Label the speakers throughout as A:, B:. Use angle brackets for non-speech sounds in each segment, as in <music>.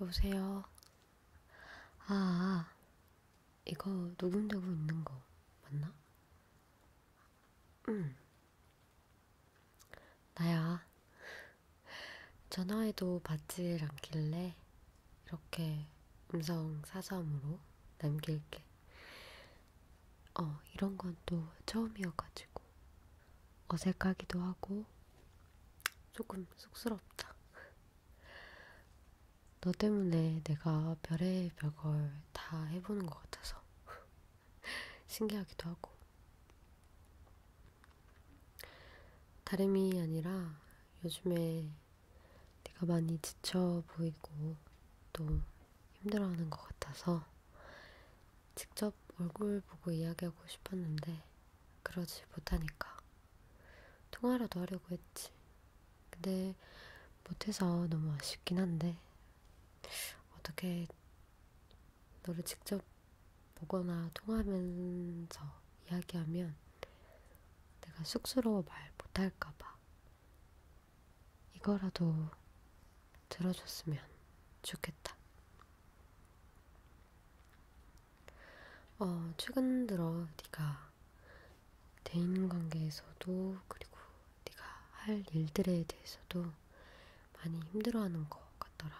A: 여보세요. 아, 아, 이거 녹음되고 있는 거 맞나? 응. 나야. 전화해도 받질 않길래 이렇게 음성 사서함으로 남길게. 어, 이런 건 또 처음이어가지고. 어색하기도 하고 조금 쑥스럽다. 너 때문에 내가 별의 별 걸 다 해보는 것 같아서 <laughs> 신기하기도 하고 다름이 아니라 요즘에 내가 많이 지쳐 보이고 또 힘들어하는 것 같아서 직접 얼굴 보고 이야기하고 싶었는데 그러지 못하니까 통화라도 하려고 했지. 근데 못해서 너무 아쉽긴 한데 어떻게 너를 직접 보거나 통화하면서 이야기하면 내가 쑥스러워 말 못할까봐 이거라도 들어줬으면 좋겠다. 어, 최근 들어 네가 대인관계에서도 그리고 네가 할 일들에 대해서도 많이 힘들어하는 것 같더라.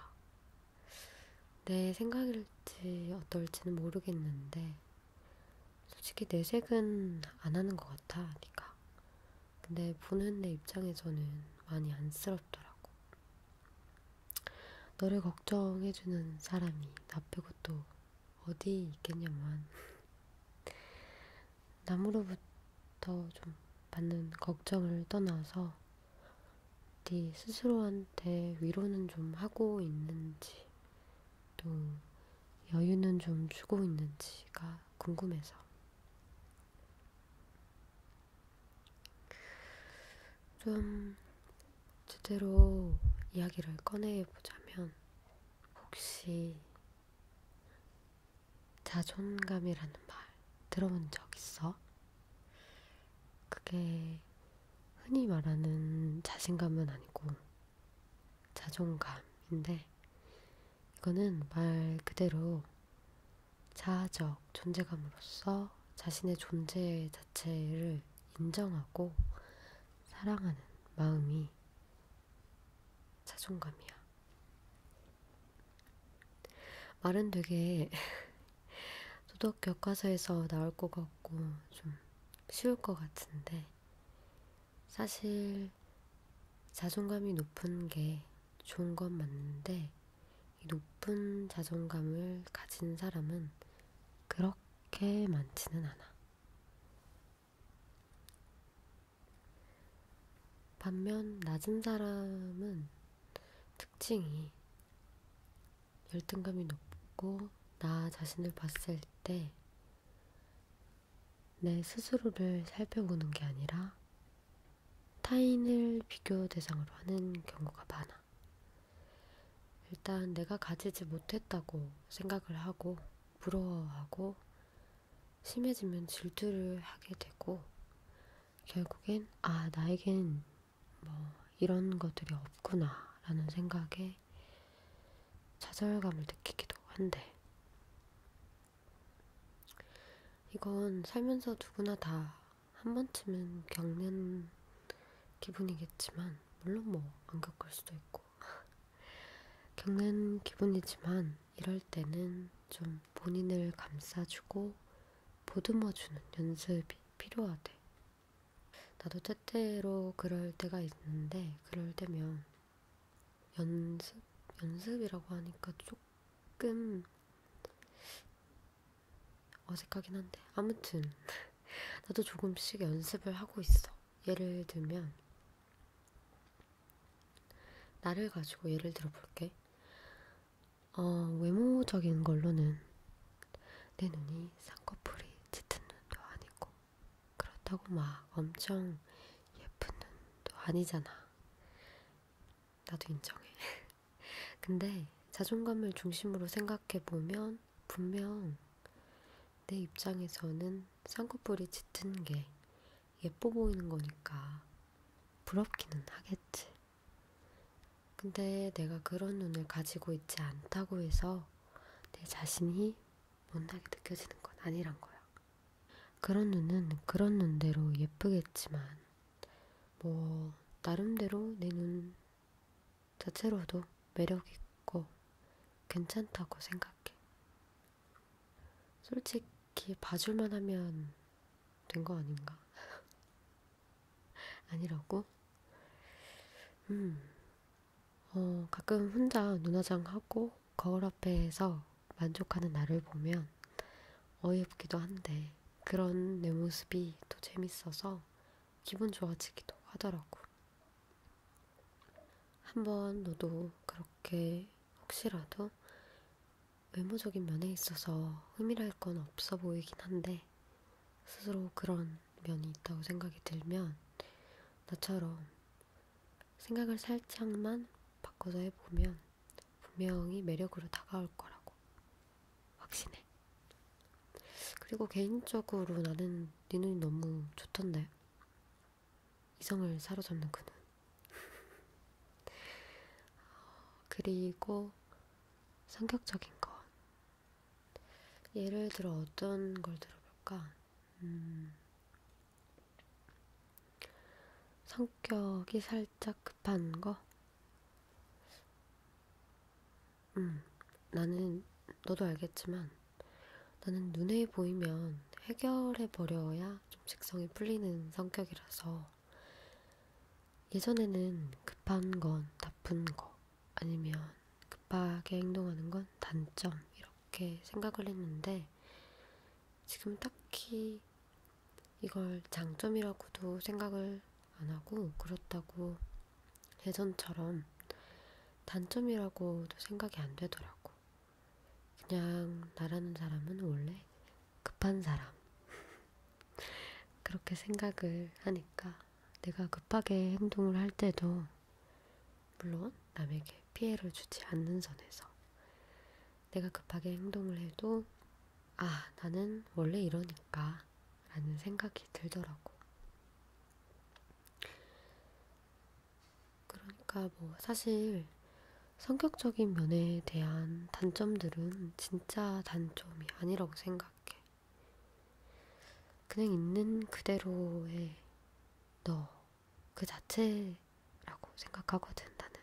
A: 내 생각일지 어떨지는 모르겠는데 솔직히 내색은 안 하는 것 같아, 네가. 근데 보는 내 입장에서는 많이 안쓰럽더라고. 너를 걱정해주는 사람이 나 빼고 또 어디 있겠냐만 남으로부터 좀 받는 걱정을 떠나서 네 스스로한테 위로는 좀 하고 있는지 또 여유는 좀 주고 있는지가 궁금해서 좀 제대로 이야기를 꺼내보자면, 혹시 자존감이라는 말 들어본 적 있어? 그게 흔히 말하는 자신감은 아니고 자존감인데, 이거는 말 그대로 자아적 존재감으로서 자신의 존재 자체를 인정하고 사랑하는 마음이 자존감이야. 말은 되게 도덕 <laughs> 교과서에서 나올 것 같고 좀 쉬울 것 같은데 사실 자존감이 높은 게 좋은 건 맞는데 이 높은 자존감을 가진 사람은 그렇게 많지는 않아. 반면 낮은 사람은 특징이 열등감이 높고 나 자신을 봤을 때 내 스스로를 살펴보는 게 아니라 타인을 비교 대상으로 하는 경우가 많아. 일단 내가 가지지 못했다고 생각을 하고, 부러워하고, 심해지면 질투를 하게 되고, 결국엔, 아, 나에겐 뭐 이런 것들이 없구나 라는 생각에 좌절감을 느끼기도 한데, 이건 살면서 누구나 다 한 번쯤은 겪는 기분이겠지만, 물론 뭐 안 겪을 수도 있고, <laughs> 겪는 기분이지만, 이럴 때는 좀 본인을 감싸주고 보듬어주는 연습이 필요하대. 나도 때때로 그럴 때가 있는데, 그럴 때면 연습? 연습이라고 하니까 좀 조금 어색하긴 한데 아무튼 <laughs> 나도 조금씩 연습을 하고 있어. 예를 들면 나를 가지고 예를 들어 볼게. 어, 외모적인 걸로는 내 눈이 쌍꺼풀이 짙은 눈도 아니고 그렇다고 막 엄청 예쁜 눈도 아니잖아. 나도 인정해. <laughs> 근데 자존감을 중심으로 생각해보면 분명 내 입장에서는 쌍꺼풀이 짙은 게 예뻐 보이는 거니까 부럽기는 하겠지. 근데 내가 그런 눈을 가지고 있지 않다고 해서 내 자신이 못나게 느껴지는 건 아니란 거야. 그런 눈은 그런 눈대로 예쁘겠지만, 뭐, 나름대로 내 눈 자체로도 매력있고 괜찮다고 생각해. 솔직히 봐줄만 하면 된 거 아닌가? <laughs> 아니라고? 음, 어, 가끔 혼자 눈화장 하고 거울 앞에서 만족하는 나를 보면 어이없기도 한데 그런 내 모습이 또 재밌어서 기분 좋아지기도 하더라고. 한번 너도 그렇게 혹시라도 외모적인 면에 있어서 흠이랄 건 없어 보이긴 한데 스스로 그런 면이 있다고 생각이 들면 나처럼 생각을 살짝만 바꿔서 해보면 분명히 매력으로 다가올 거라고 확신해. 그리고 개인적으로 나는 네 눈이 너무 좋던데. 이성을 사로잡는 그 눈. <laughs> 그리고 성격적인 것. 예를 들어 어떤 걸 들어볼까? 음, 성격이 살짝 급한 거? 음, 나는, 너도 알겠지만, 나는 눈에 보이면 해결해버려야 좀 직성이 풀리는 성격이라서, 예전에는 급한 건 나쁜 거, 아니면 급하게 행동하는 건 단점, 이렇게 생각을 했는데, 지금 딱히 이걸 장점이라고도 생각을 안 하고 그렇다고 예전처럼 단점이라고도 생각이 안 되더라고. 그냥 나라는 사람은 원래 급한 사람. <laughs> 그렇게 생각을 하니까 내가 급하게 행동을 할 때도 물론 남에게 피해를 주지 않는 선에서 내가 급하게 행동을 해도 아, 나는 원래 이러니까 라는 생각이 들더라고. 그러니까 뭐 사실 성격적인 면에 대한 단점들은 진짜 단점이 아니라고 생각해. 그냥 있는 그대로의 너그 자체라고 생각하거든, 나는.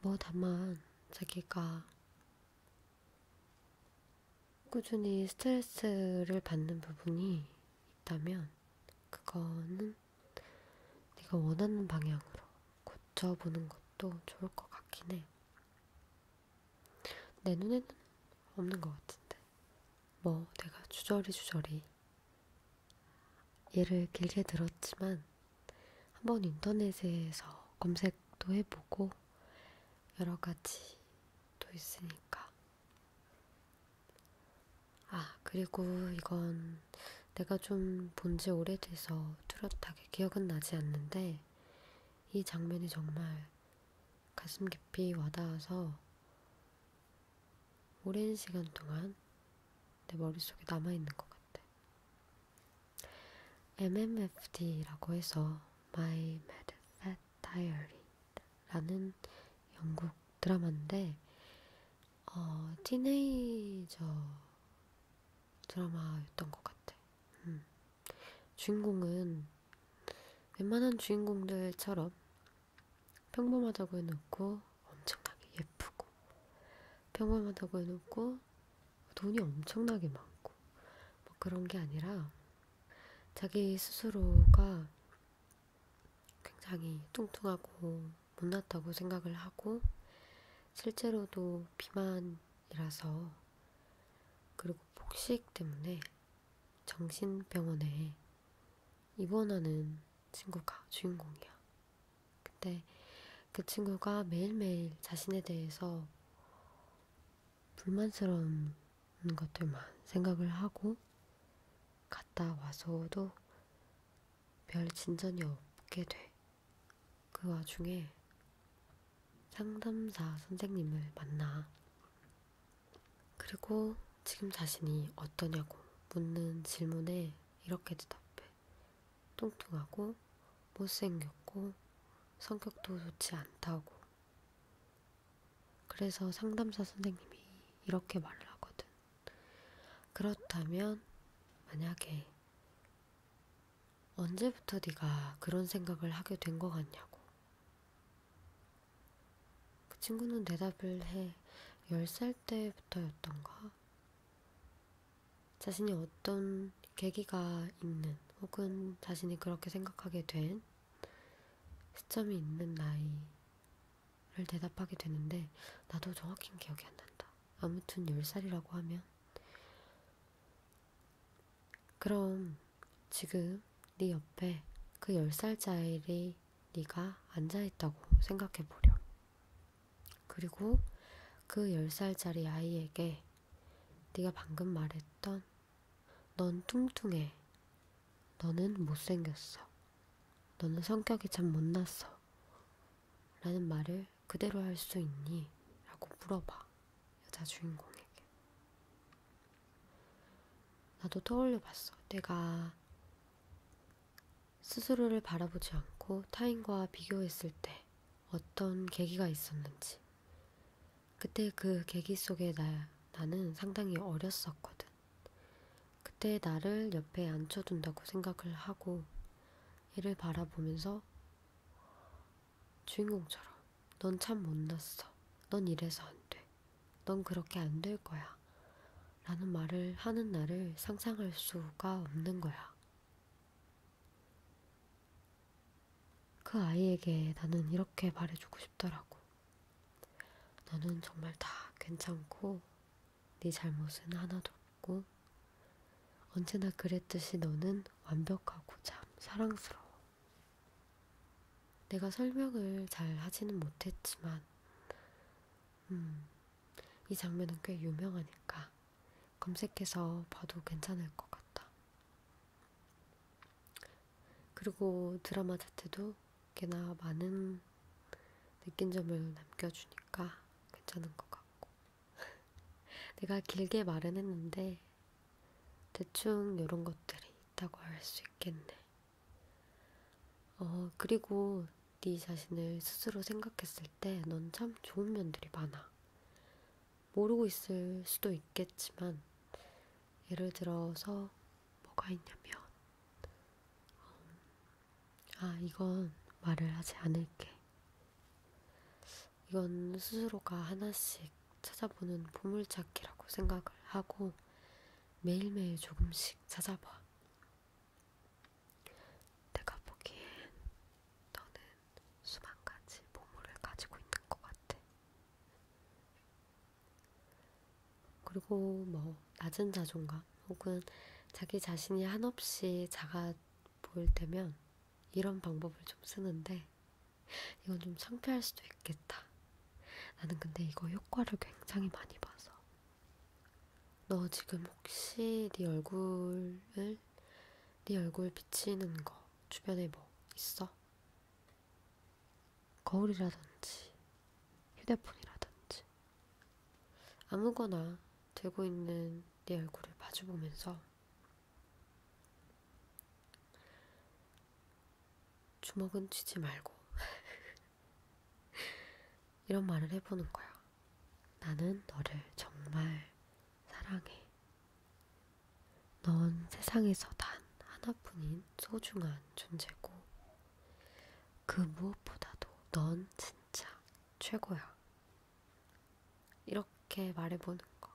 A: 뭐, 다만, 자기가 꾸준히 스트레스를 받는 부분이 있다면, 그거는 네가 원하는 방향으로 고쳐보는 것도 좋을 것 같긴 해. 내 눈에는 없는 것 같은데. 뭐 내가 주저리 주저리 얘를 길게 들었지만 한번 인터넷에서 검색도 해보고 여러 가지 또 있으니까 아 그리고 이건 내가 좀 본지 오래돼서 뚜렷하게 기억은 나지 않는데 이 장면이 정말 가슴 깊이 와닿아서 오랜 시간 동안 내 머릿속에 남아있는 것 같아. MMFD라고 해서 My Mad Fat Diary라는 영국 드라마인데 어, 티네이저 드라마였던 것 같아. 음. 주인공은 웬만한 주인공들처럼 평범하다고 해놓고 엄청나게 예쁘고 평범하다고 해놓고 돈이 엄청나게 많고 뭐 그런 게 아니라 자기 스스로가 굉장히 뚱뚱하고 못났다고 생각을 하고 실제로도 비만이라서 그리고 폭식 때문에 정신병원에 입원하는 친구가 주인공이야. 근데 그 친구가 매일매일 자신에 대해서 불만스러운 것들만 생각을 하고 갔다 와서도 별 진전이 없게 돼. 그 와중에 상담사 선생님을 만나 그리고 지금 자신이 어떠냐고 묻는 질문에 이렇게 대답해. 뚱뚱하고 못생겼고 성격도 좋지 않다고. 그래서 상담사 선생님이 이렇게 말을 하거든. 그렇다면 만약에 언제부터 네가 그런 생각을 하게 된 것 같냐고 그 친구는 대답을 해. 10살 때부터였던가? 자신이 어떤 계기가 있는 혹은 자신이 그렇게 생각하게 된 시점이 있는 나이를 대답하게 되는데 나도 정확히 기억이 안 난다. 아무튼 10살이라고 하면 그럼 지금 네 옆에 그 10살짜리 네가 앉아있다고 생각해보렴. 그리고 그 10살짜리 아이에게 네가 방금 말했던 넌 뚱뚱해. 너는 못생겼어. 너는 성격이 참 못났어. 라는 말을 그대로 할 수 있니? 라고 물어봐. 여자 주인공에게. 나도 떠올려 봤어. 내가 스스로를 바라보지 않고 타인과 비교했을 때 어떤 계기가 있었는지. 그때 그 계기 속에 나, 나는 상당히 어렸었거든. 그때 나를 옆에 앉혀둔다고 생각을 하고 이를 바라보면서 주인공처럼 넌 참 못났어. 넌 이래서 안 돼. 넌 그렇게 안 될 거야. 라는 말을 하는 나를 상상할 수가 없는 거야. 그 아이에게 나는 이렇게 말해주고 싶더라고. 너는 정말 다 괜찮고, 네 잘못은 하나도 없고, 언제나 그랬듯이 너는 완벽하고 참 사랑스러워. 내가 설명을 잘 하지는 못했지만, 음, 이 장면은 꽤 유명하니까 검색해서 봐도 괜찮을 것 같다. 그리고 드라마 자체도 꽤나 많은 느낀 점을 남겨주니까 괜찮은 것 같고. 내가 길게 말은 했는데 대충 이런 것들이 있다고 할 수 있겠네. 어 그리고 네 자신을 스스로 생각했을 때 넌 참 좋은 면들이 많아. 모르고 있을 수도 있겠지만 예를 들어서 뭐가 있냐면 어, 아 이건 말을 하지 않을게. 이건 스스로가 하나씩 찾아보는 보물찾기라고 생각을 하고 매일매일 조금씩 찾아봐. 내가 보기엔 너는 수만 가지 보물을 가지고 있는 것 같아. 그리고 뭐 낮은 자존감 혹은 자기 자신이 한없이 작아 보일 때면 이런 방법을 좀 쓰는데 이건 좀 창피할 수도 있겠다. 나는 근데 이거 효과를 굉장히 많이 봐서. 너 지금 혹시 네 얼굴을 네 얼굴 비치는 거 주변에 뭐 있어? 거울이라든지 휴대폰이라든지 아무거나 들고 있는 네 얼굴을 마주보면서 주먹은 쥐지 말고 <laughs> 이런 말을 해보는 거야. 나는 너를 정말 사랑해. 넌 세상에서 단 하나뿐인 소중한 존재고 그 무엇보다도 넌 진짜 최고야. 이렇게 말해보는 거.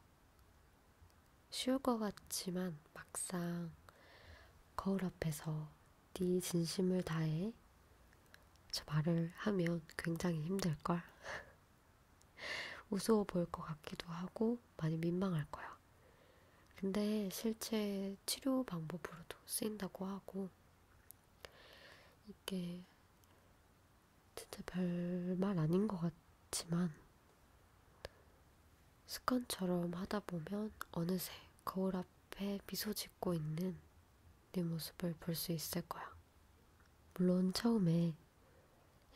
A: 쉬울 것 같지만 막상 거울 앞에서 네 진심을 다해 저 말을 하면 굉장히 힘들걸. <laughs> 우스워 보일 것 같기도 하고 많이 민망할 거야. 근데 실제 치료 방법으로도 쓰인다고 하고 이게 진짜 별말 아닌 것 같지만 습관처럼 하다 보면 어느새 거울 앞에 미소 짓고 있는 네 모습을 볼 수 있을 거야. 물론 처음에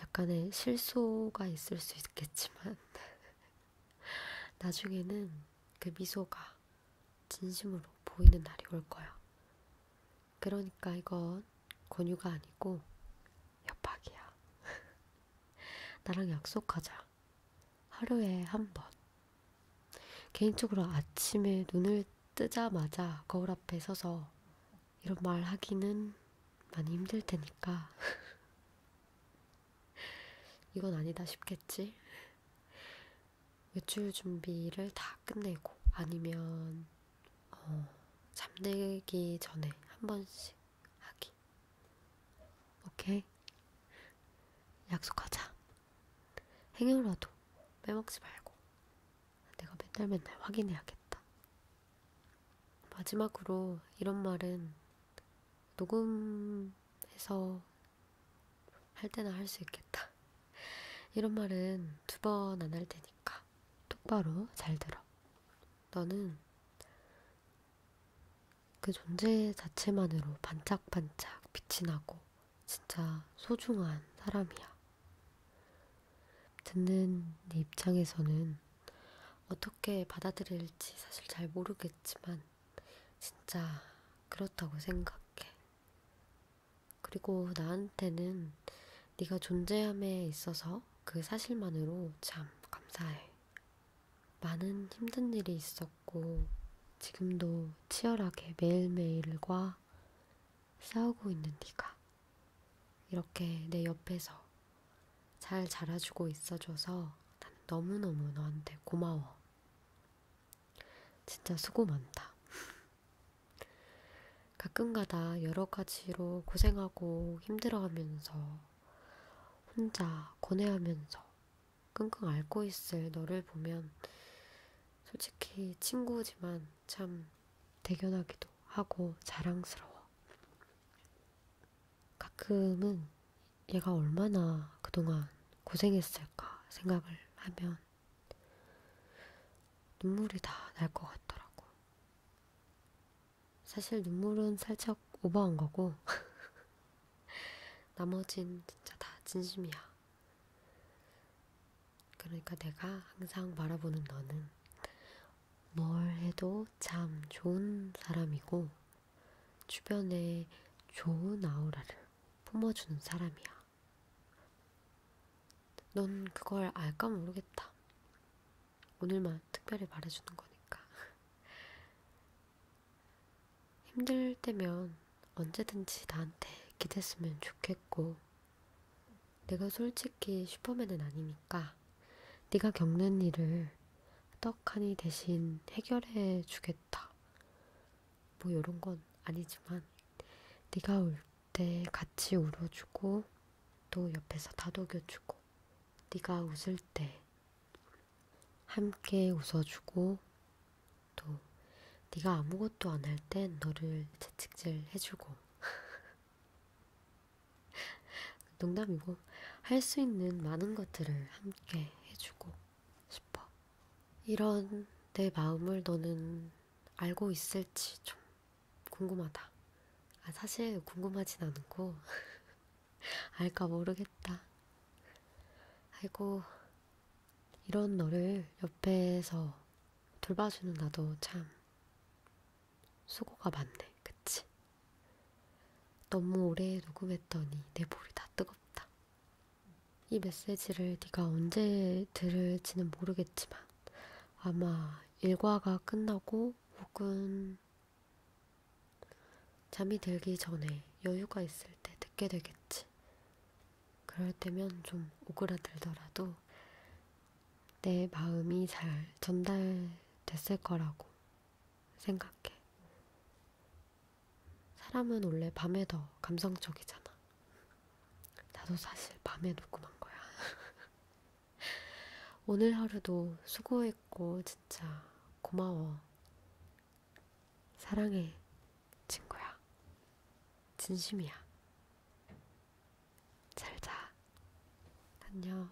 A: 약간의 실소가 있을 수 있겠지만 <laughs> 나중에는 그 미소가 진심으로 보이는 날이 올 거야. 그러니까 이건 권유가 아니고 협박이야. <laughs> 나랑 약속하자. 하루에 한 번. 개인적으로 아침에 눈을 뜨자마자 거울 앞에 서서 이런 말 하기는 많이 힘들 테니까. <laughs> 이건 아니다 싶겠지? 외출 준비를 다 끝내고 아니면 어, 잠들기 전에 한 번씩 하기. 오케이. 약속하자. 행여라도 빼먹지 말고. 내가 맨날 맨날 확인해야겠다. 마지막으로 이런 말은 녹음해서 할 때나 할 수 있겠다. 이런 말은 두 번 안 할 테니까 똑바로 잘 들어. 너는 그 존재 자체만으로 반짝반짝 빛이 나고 진짜 소중한 사람이야. 듣는 네 입장에서는 어떻게 받아들일지 사실 잘 모르겠지만 진짜 그렇다고 생각해. 그리고 나한테는 네가 존재함에 있어서 그 사실만으로 참 감사해. 많은 힘든 일이 있었고 지금도 치열하게 매일매일과 싸우고 있는 네가 이렇게 내 옆에서 잘 자라주고 있어줘서 난 너무너무 너한테 고마워. 진짜 수고 많다. 가끔가다 여러 가지로 고생하고 힘들어하면서 혼자 고뇌하면서 끙끙 앓고 있을 너를 보면 솔직히 친구지만 참 대견하기도 하고 자랑스러워. 가끔은 얘가 얼마나 그동안 고생했을까 생각을 하면 눈물이 다 날 것 같더라고. 사실 눈물은 살짝 오버한 거고, <laughs> 나머진 진짜 다 진심이야. 그러니까 내가 항상 바라보는 너는 뭘 해도 참 좋은 사람이고, 주변에 좋은 아우라를 품어주는 사람이야. 넌 그걸 알까 모르겠다. 오늘만 특별히 말해주는 거니까. <laughs> 힘들 때면 언제든지 나한테 기댔으면 좋겠고, 내가 솔직히 슈퍼맨은 아니니까, 네가 겪는 일을 떡하니 대신 해결해 주겠다. 뭐 이런 건 아니지만 네가 울 때 같이 울어주고 또 옆에서 다독여주고 네가 웃을 때 함께 웃어주고 또 네가 아무것도 안 할 땐 너를 채찍질 해주고 <laughs> 농담이고 할 수 있는 많은 것들을 함께 해주고 싶어. 이런 내 마음을 너는 알고 있을지 좀 궁금하다. 아, 사실 궁금하진 않고 <laughs> 알까 모르겠다. 아이고, 이런 너를 옆에서 돌봐주는 나도 참 수고가 많네. 그치? 너무 오래 녹음했더니 내 볼이 다 뜨겁다. 이 메시지를 네가 언제 들을지는 모르겠지만 아마 일과가 끝나고 혹은 잠이 들기 전에 여유가 있을 때 듣게 되겠지. 그럴 때면 좀 오그라들더라도 내 마음이 잘 전달됐을 거라고 생각해. 사람은 원래 밤에 더 감성적이잖아. 나도 사실 밤에 녹음한 거야. <laughs> 오늘 하루도 수고했고, 진짜 고마워. 사랑해, 친구야. 진심이야. 잘 자. 안녕.